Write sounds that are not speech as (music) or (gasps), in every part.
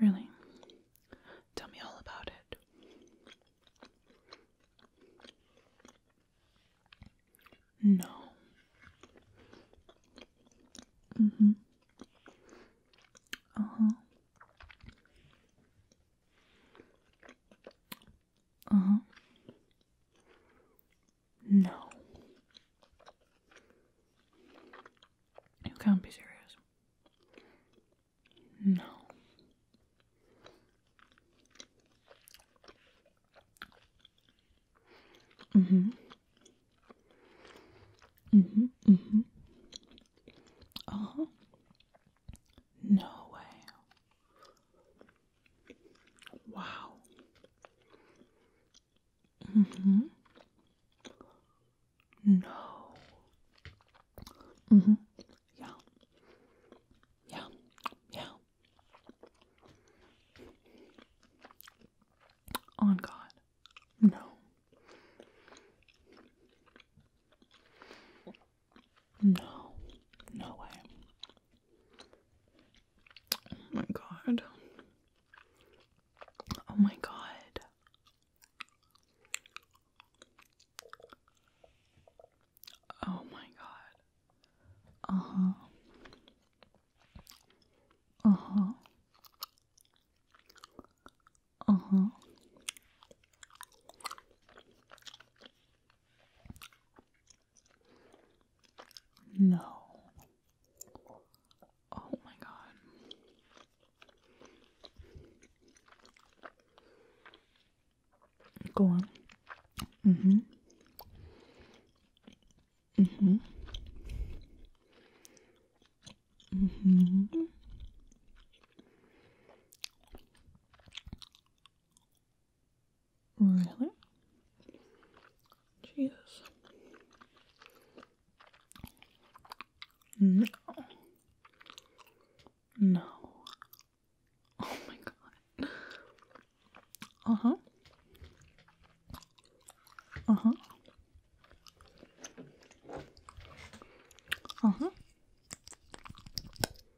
Really? Tell me all about it. No. Mm-hmm. Uh-huh. Uh huh. No. You can't be serious. No. Mm hmm. Mm hmm. Mm hmm. Uh huh. No way. Wow. Mm-hmm. No. Mm-hmm. Yeah. Yeah. Yeah. On oh God. No. No. No way. Oh my god. Oh my god. Oh my god. Uh huh. Uh huh. Uh huh. No. Oh my god. Go on. hmm hmm hmm Really? Jesus. No. No. Oh my god. Uh huh. Uh huh. Uh huh.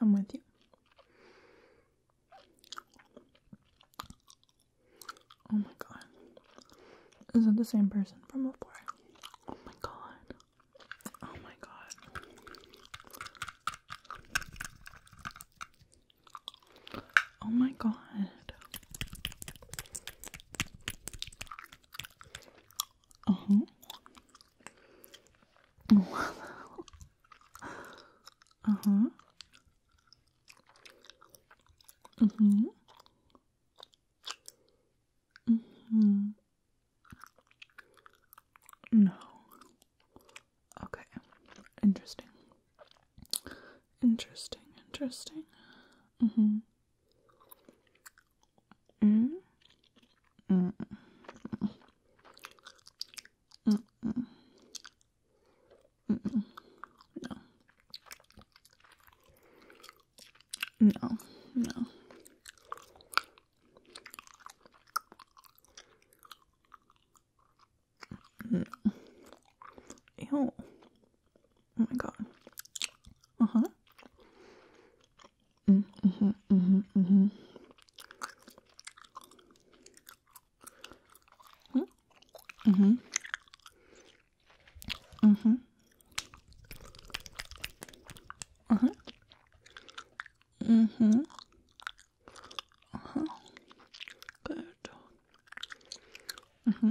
I'm with you. Oh my god. Is it the same person from before? Oh my god. Oh my god. Oh my god. Uh huh uh-huh. Mm-hmm. Mm-hmm. No. Okay. Interesting. Interesting. Interesting. Mm-hmm. Mm. Mm -mm. Mm -mm. Mm -mm. No. No. No. No. Ew. Oh my god. Uh huh. Mm -hmm, mm -hmm, mm -hmm. Mm-hmm. Mm-hmm. Uh-huh. Mm-hmm. Uh-huh. Good. Mm-hmm.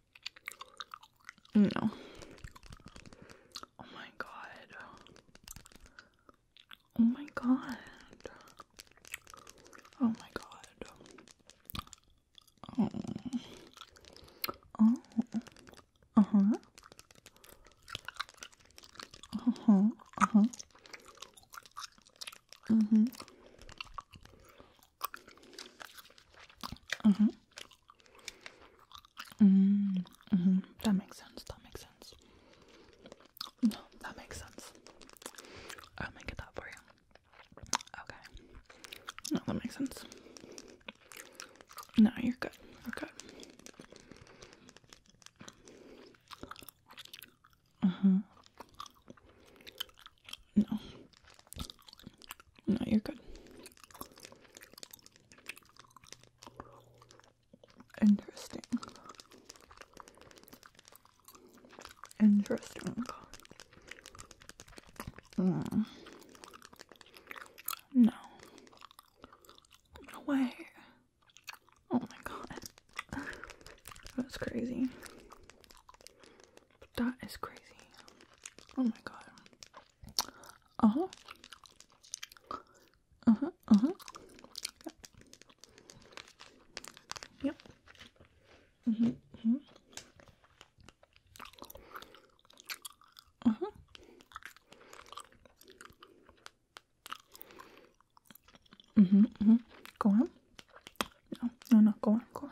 No. Oh my god. Oh my god. Oh my god. Oh. Oh. Uh huh. Uh huh. Uh huh. Mm-hmm. Mm-hmm. Mm hmm That makes sense. That makes sense. No, that makes sense. I'll make it that for you. Okay. No, that makes sense. No, you're good. You're good. Uh mm-hmm. huh. No. No, you're good. Interesting. Interesting. Hmm. No. No way. Oh my god. (laughs) That's crazy. That is crazy. Oh my god. Uh huh. Uh huh. Uh huh. Yep. yep. Mm hmm. Mm hmm. Uh huh. Mm hmm. Mm hmm. Go on. No, no, no. Go on. Go on.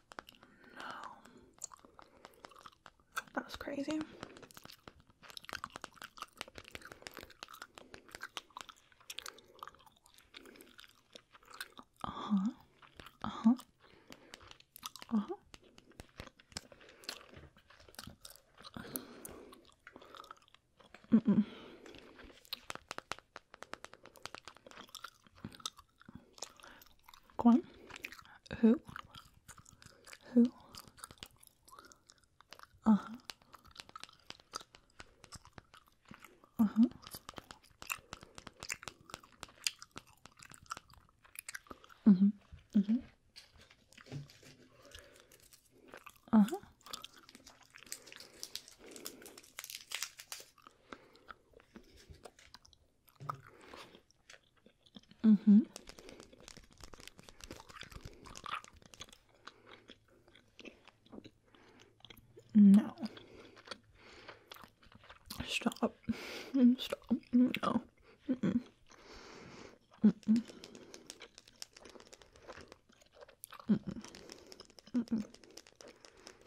No. That crazy. Uh-huh. Uh-huh. Uh-huh. Mm -mm. Who? Who? Uh huh. Uh huh. Mhm. Mhm. Uh huh. Mm-hmm. No. Stop. Stop. No.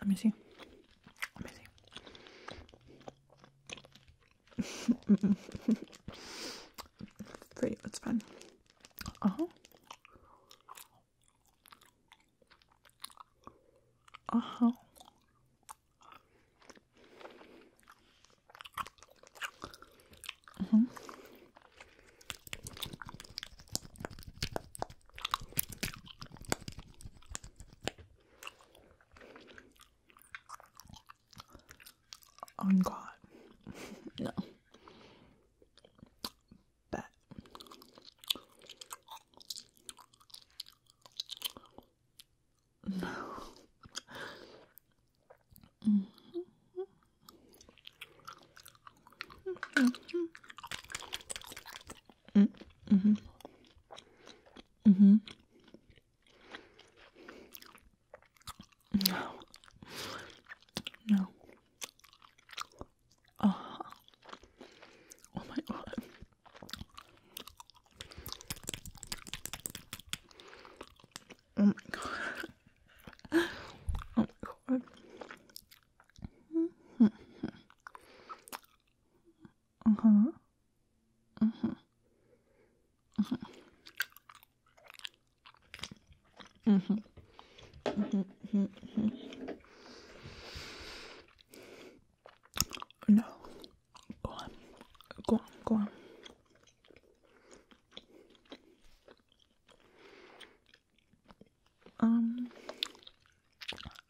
Let me see. Let me see. (laughs) Pretty, it's fun. Uh huh. Uh huh. Uh mm-hmm. -huh. I'm God, no. Bet. No. Mm -hmm. Mm -hmm. Mm -hmm. Mm -hmm. No. No. Oh. oh my god. Oh my god. Oh my god. Uh huh. Uh huh. Uh huh. Uh huh. Uh huh. Uh huh. No. Go on. Go on. Go on. Um,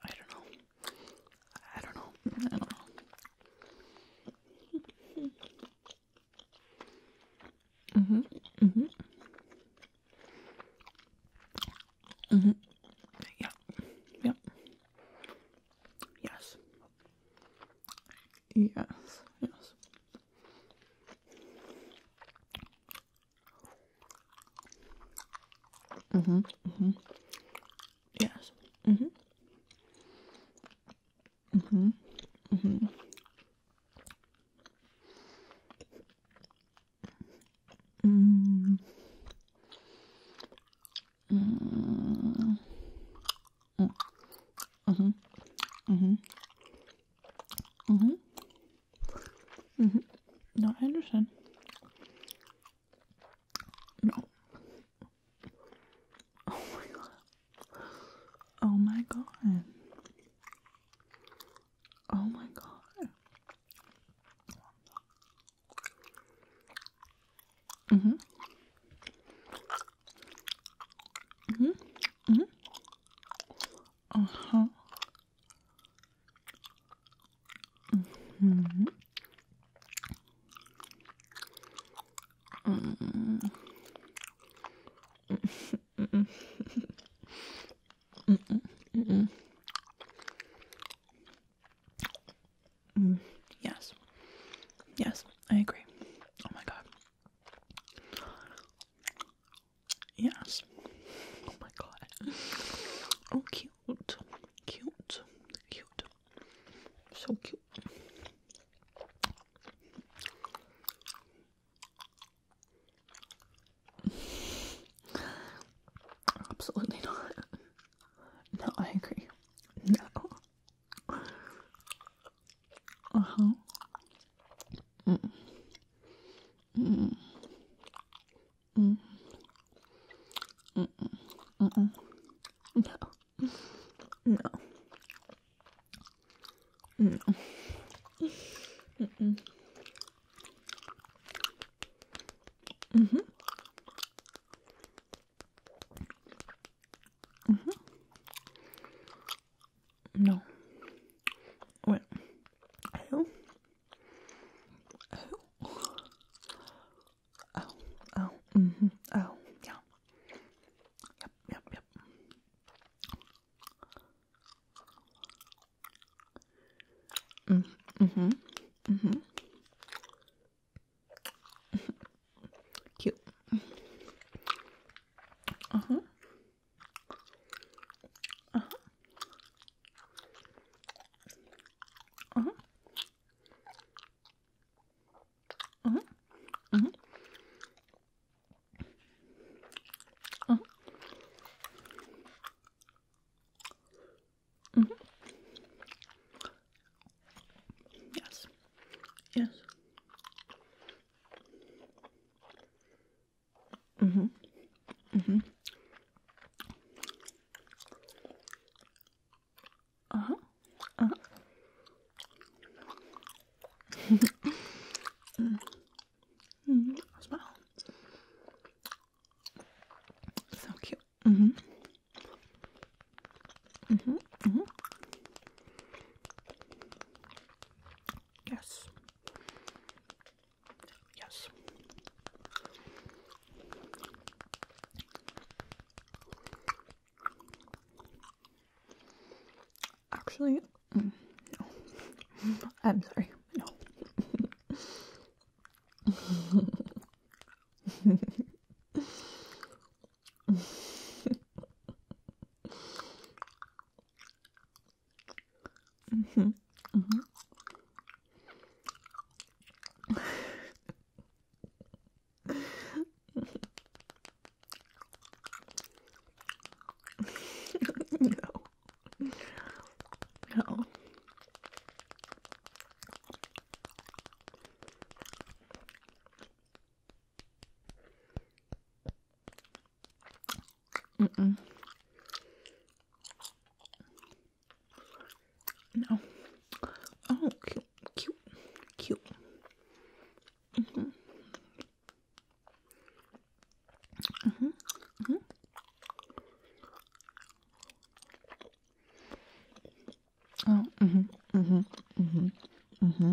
I don't know. I don't know. I don't know. Mhm. Mhm. Mhm. Yeah. Yeah. Yes. Yes. Yes. Mm-hmm. Mm-hmm. Yes. Mm-hmm. Mm-hmm. Mm-hmm. Mm. Mm. Mm. Mm-hmm. Mm-hmm. Mm-hmm. mm-hmm. Mm -hmm. No, I Oh my god. Oh my god. Oh my god. Mm-hmm. Mm-hmm. Mm-hmm. Uh-huh. Mm -hmm. Mm -hmm. Mm -mm, mm -mm. Yes. Yes, I agree. Oh my god. Yes. Oh my god. Oh, cute. Cute. Cute. So cute. Absolutely not. No, I agree. No. Uh huh. Mm. Mm. Mm. Mm -mm. Mm -mm. No. No. No. Mm -mm. Mm-hmm. Mm-hmm. No. Wait. Hello? Ow. Ow. Ow. Mm-hmm. Ow. Yep, yep, yep. Mm, hmm Mm-hmm. Cute. Uh-huh. Uh huh. Uh huh. Uh huh. Uh huh. Uh huh. Mm -hmm. Yes. Yes. Mm-hmm. Mm-hmm. Uh-huh. Uh-huh. mm. Mm. Smile. So cute. Mm-hmm. Mm-hmm. Mm-hmm. Yes. Yes. Actually, mm, (laughs) I'm sorry. (laughs) Mm -hmm. Mm -hmm. (laughs) no. No. Mm-mm. No. Oh, cute, cute, cute. Mm-hmm. Mm-hmm. Mm-hmm. Oh, mm-hmm, mm-hmm, mm-hmm, mm-hmm.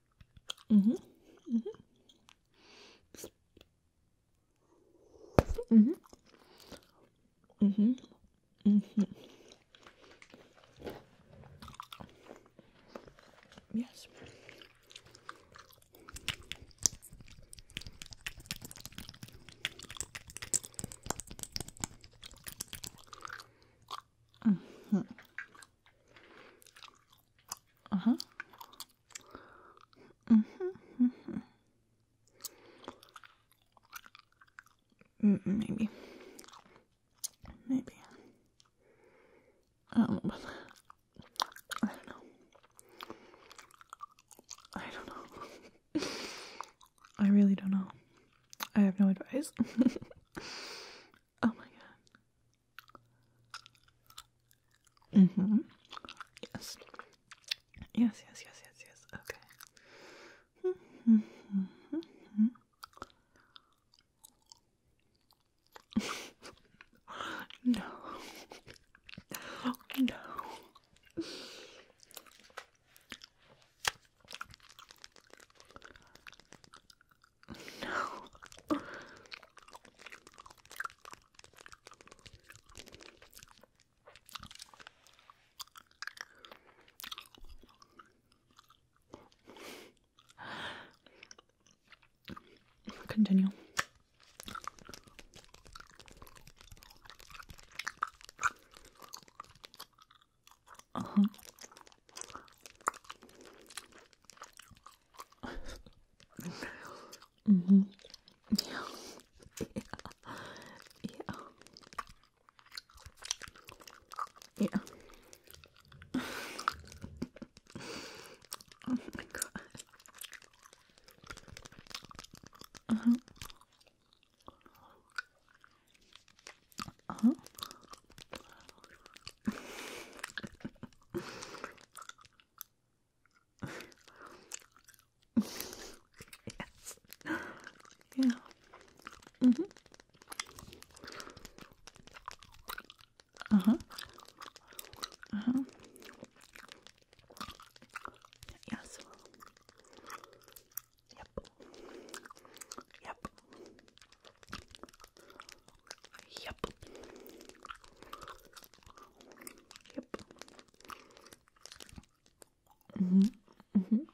Mhm. Mhm. Mhm. Mhm. Mhm. Yes. Mm -hmm. Uh huh. Mm hmm. Mm -hmm. Mm mm-hmm. -mm, mm-hmm. maybe. Maybe. I I don't know. I don't know. (laughs) I really don't know. I have no advice. (laughs) Oh my god. Mm-hmm. Yes. Yes, yes, yes, yes, Okay. Mm-hmm. (laughs) no. no. No. Continue. Uh huh mm hmm Yeah. Yeah. (laughs) Yeah. oh my god. Uh huh. Uh huh yes. Yeah. Mhm. Mm uh huh. Uh huh. Yep. Yep. Yep. Yep. Mhm. Mhm.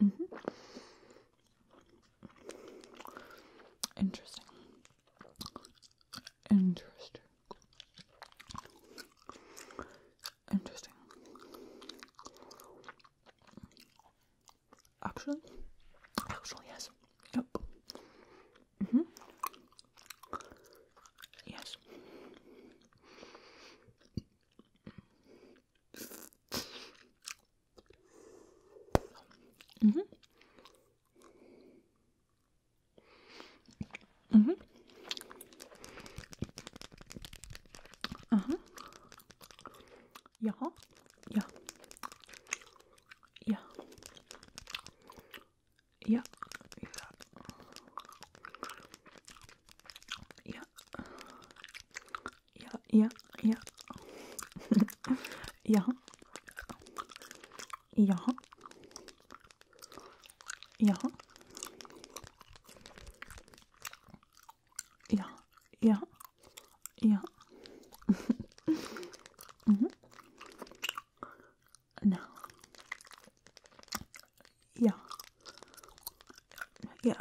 Mhm. Interesting. Interesting. Interesting. Actually, actually, yes. Yep. Mm hmm. Yes. Mm hmm. Mm hmm. Uh huh. Ja. Ja. Ja. Ja. Ja. Ja, ja, (laughs) ja. ja. Ja. Ja. Ja. Ja. Yeah. Mm-hmm. No. Yeah. Yeah.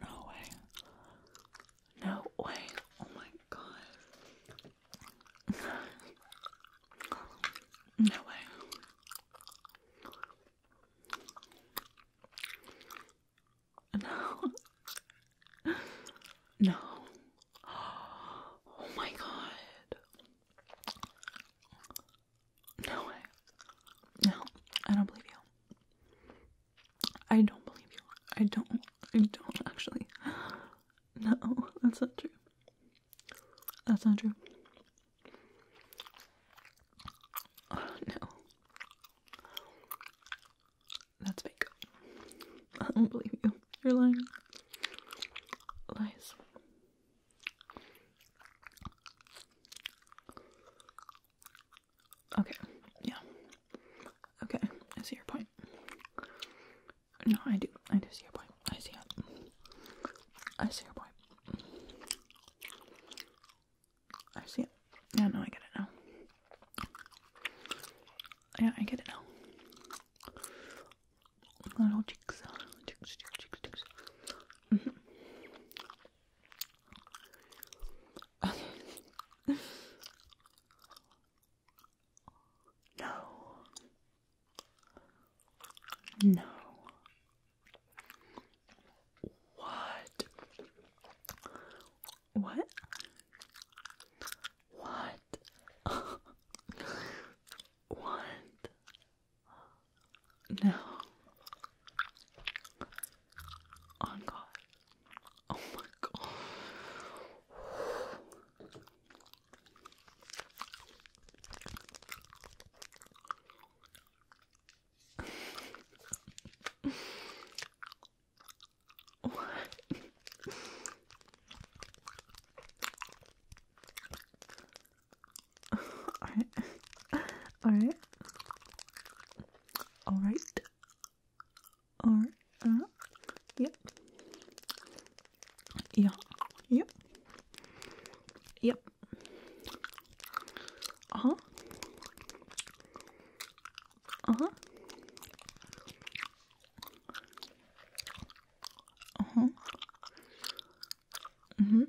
no way. No way. Oh my god. No way. No. (laughs) No. (gasps) Oh my god. No way. No, I don't believe you. I don't believe you. I don't. I don't actually. (gasps) No, that's not true. That's not true. Oh, no. That's fake. I don't believe you. You're lying. Lies. Okay, yeah. Okay, I see your point. No, I do. I do see your point. I see it. I see your point. I see it. Yeah, no, I get it now. Yeah, I get it now. Little cheeks. Cheeks, cheeks, cheeks, mm-hmm. (laughs) no. No. What? What? What? what? No. Oh god. Oh my god what? Alright. Alright. Alright. Alright. Uh, yep. Yeah. Yep. Yep. Uh huh. Uh huh. Uh huh. Mm hmm.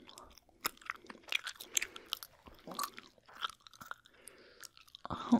Uh huh.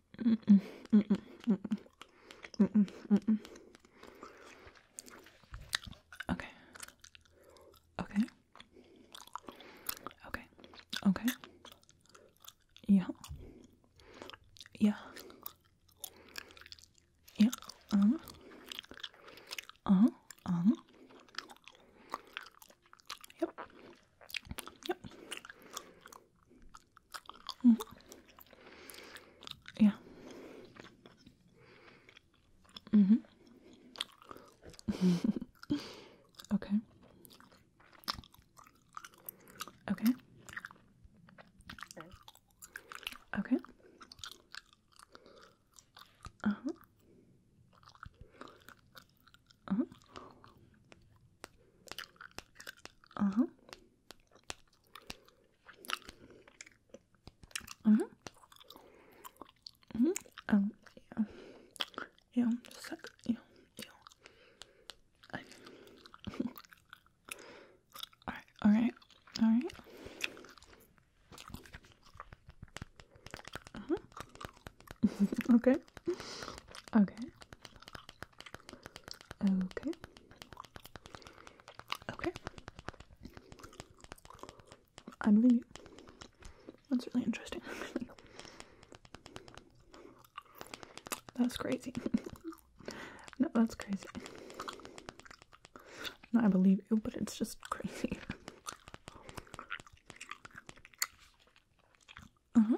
Mm -mm, mm Mm -mm, mm -mm. Okay. Okay. Okay. Okay. Yeah. Yeah. Yeah. Um. Uh -huh. Uh -huh. Uh-huh. Yep. Yep. Mm. Yeah. Mhm. Mm (laughs) okay. Okay. Okay. Uh huh. Uh huh. Uh huh. Mm hmm. Mm hmm. Um, yeah. Yeah, just like, yeah, yeah. alright, alright, alright. Uh -huh. okay. Okay. Okay. Okay. I believe you. That's really interesting. (laughs) (laughs) that's crazy. no, that's crazy. I believe you, but it's just crazy. (laughs) Uh huh.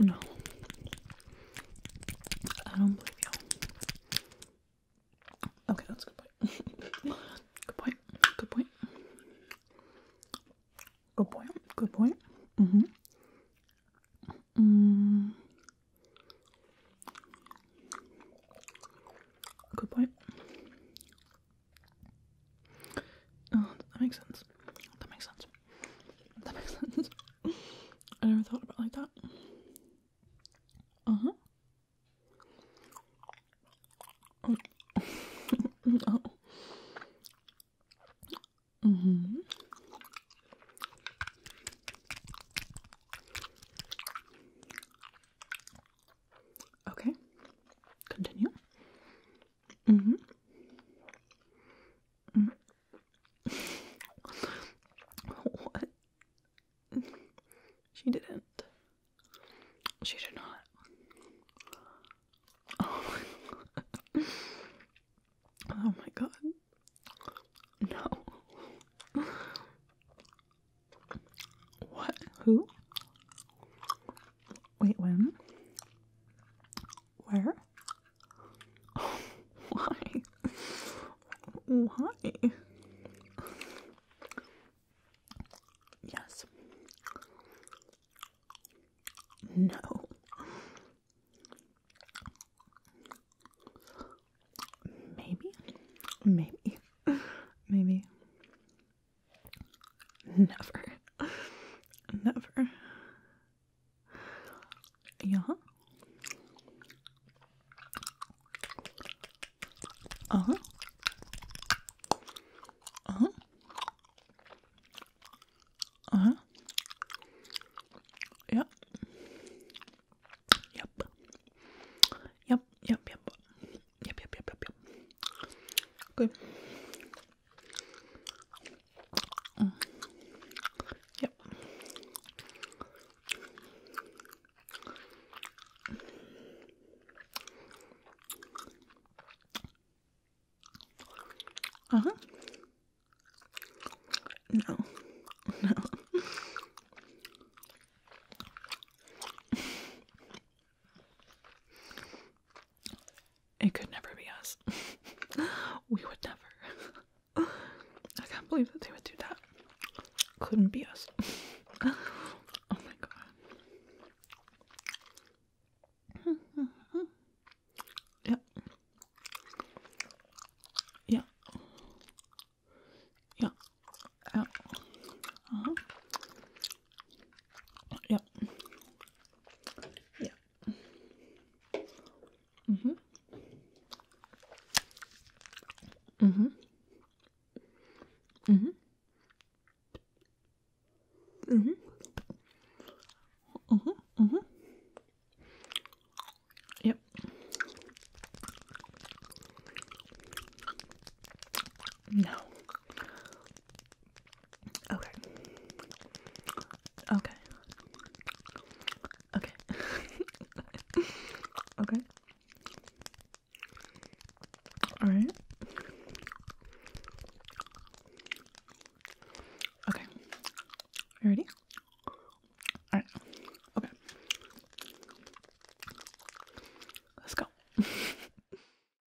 No. I don't believe you. Okay, that's a good point. (laughs) good point. Good point. Good point. Good point. Mm-hmm. Mm. Good point. Oh, that makes sense. That makes sense. That makes (laughs) sense. I never thought about like that. Uh huh. Oh. (laughs) oh. Mm-hmm. Okay. Continue. Mm-hmm. mm-hmm. (laughs) what? She didn't. She did not. Oh my god. Oh my god. No. What? Who? Wait, when? Where? (laughs) why? Why? Yes. No. Maybe. Maybe. Maybe. Never. Never. Yeah. Uh huh. Uh huh. Uh huh. Yep. Yep. Yep. Yep. Yep. Yep. Yep. Yep. Yep. Yep. Good. Yep. Uh huh. No. (laughs) No. It could never be us. (laughs) we would never. (laughs) I can't believe that they would do that. Couldn't be us. (laughs) oh my god. yep. Yeah. Yeah. Yeah. Uh-huh. Yeah. Yeah. Mhm. Mhm. Mhm. Mhm. Mhm. Mhm. Yep. No. Okay. Okay. Okay. (laughs) okay. All right. Okay. You ready? All right. Okay. Let's go. (laughs)